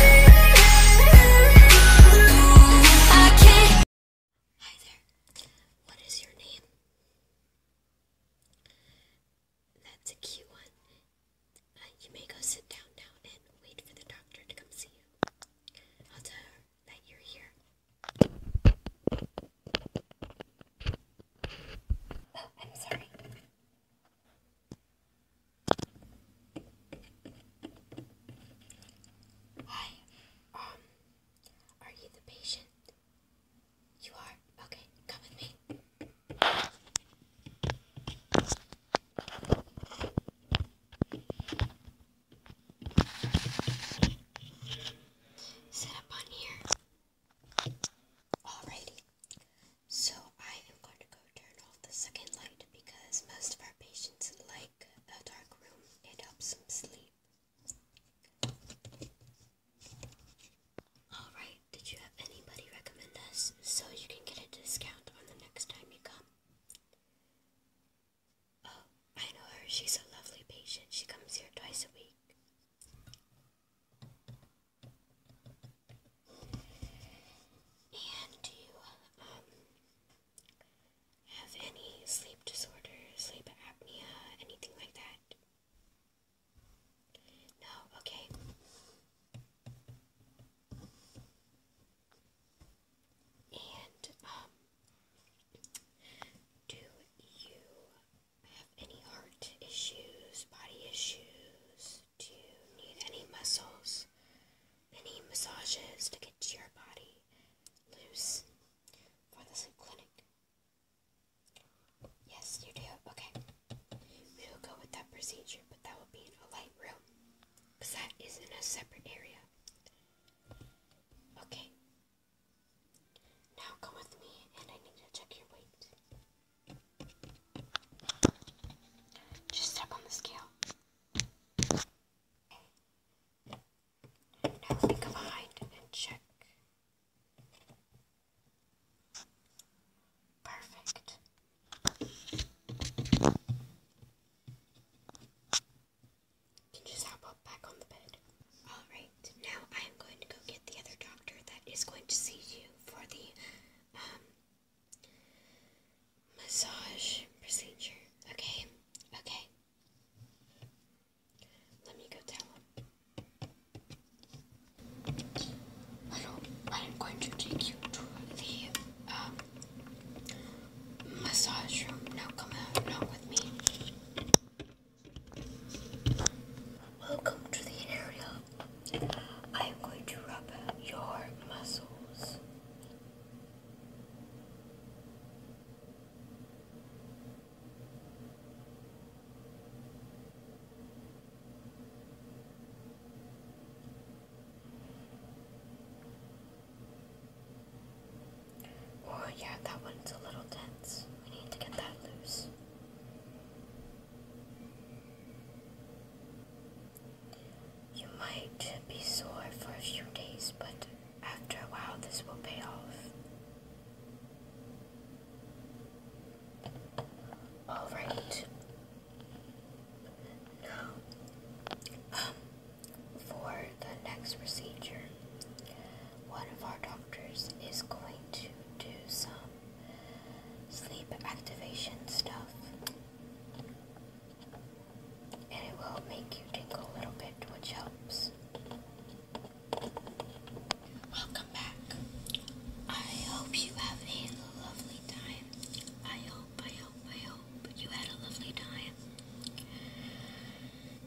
Hi there. What is your name? That's a cute one. you may go sit down now and wait for the doctor to come see you. I'll tell you're here. Oh, I'm sorry. Hi. Um, are you the patient? You are? Okay, come with me. Sit up on here. Alrighty. So I am going to go turn off the second light because most of our patients like a dark room. It helps them sleep. Alright, did you have anybody recommend us so you can get a discount on the next time you come? Oh, I know her. She's a lovely patient. She comes here twice a week. And do you um, have any sleep disorders, sleep apnea, anything like that? No, okay. And um, do you have any heart issues, body issues? Do you need any muscles? Any massages to get your body loose for the sleep clinic? Yes, you do. Okay. We will go with that procedure, but that will be in a light room because that is in a separate area. Okay, now come with me, and I need to check your weight. Just step on the scale. Now think of a height and check. Perfect. Can you just hop back on the bed. Alright, now I am going to go get the other doctor that is going to see you for the um, massage procedure. Okay? Okay. Let me go tell him. Little, I am going to take you to the um, massage room. Now come out, now with me. Welcome to the area. I'm going to rub your muscles. Oh yeah, that one's a little dense. We need to get that loose. You might be sore for a few days, but after a while this will pay off. Alright. Um, for the next procedure. One of our doctors is going to do some sleep activation stuff. And it will make you tingle a little bit, which helps. Welcome back. I hope you have a lovely time. I hope I hope, I hope you had a lovely time.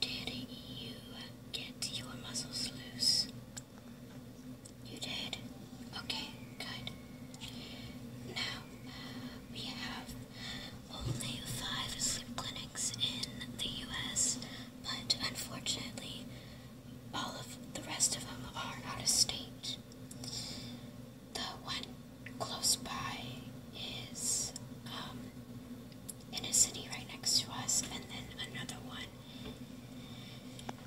Did you get your muscles loose? You did? Okay, good. Now, we have only five sleep clinics in the US, but unfortunately, all of the rest of them are out of state the one close by is um, in a city right next to us, and then another one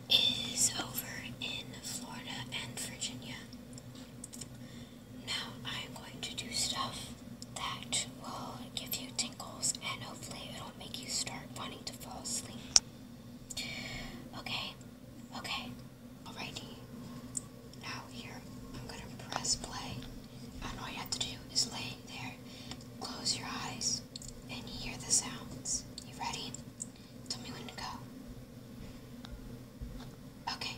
is over in Florida and Virginia. Now I'm going to do stuff that will give you tingles and hopefully it'll make you start wanting to fall asleep. Okay, okay. Alrighty. Now here, I'm gonna press play. And all you have to do is lay there, close your eyes, and you hear the sounds. You ready? Tell me when to go. Okay.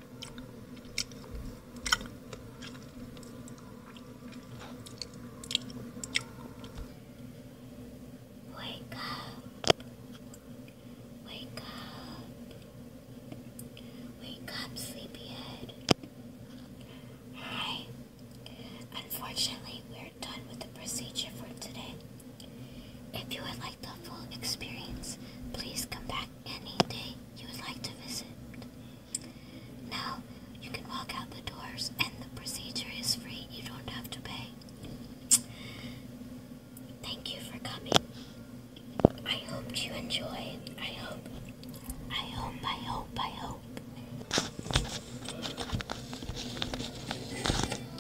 Wake up. Wake up. Wake up, sleepyhead. Alright. Unfortunately, we're done with the procedure for today. If you would like the full experience, please come back any day you would like to visit. Now, you can walk out the doors and the procedure is free. You don't have to pay. Thank you for coming. I hope you enjoy. I hope. I hope, I hope, I hope.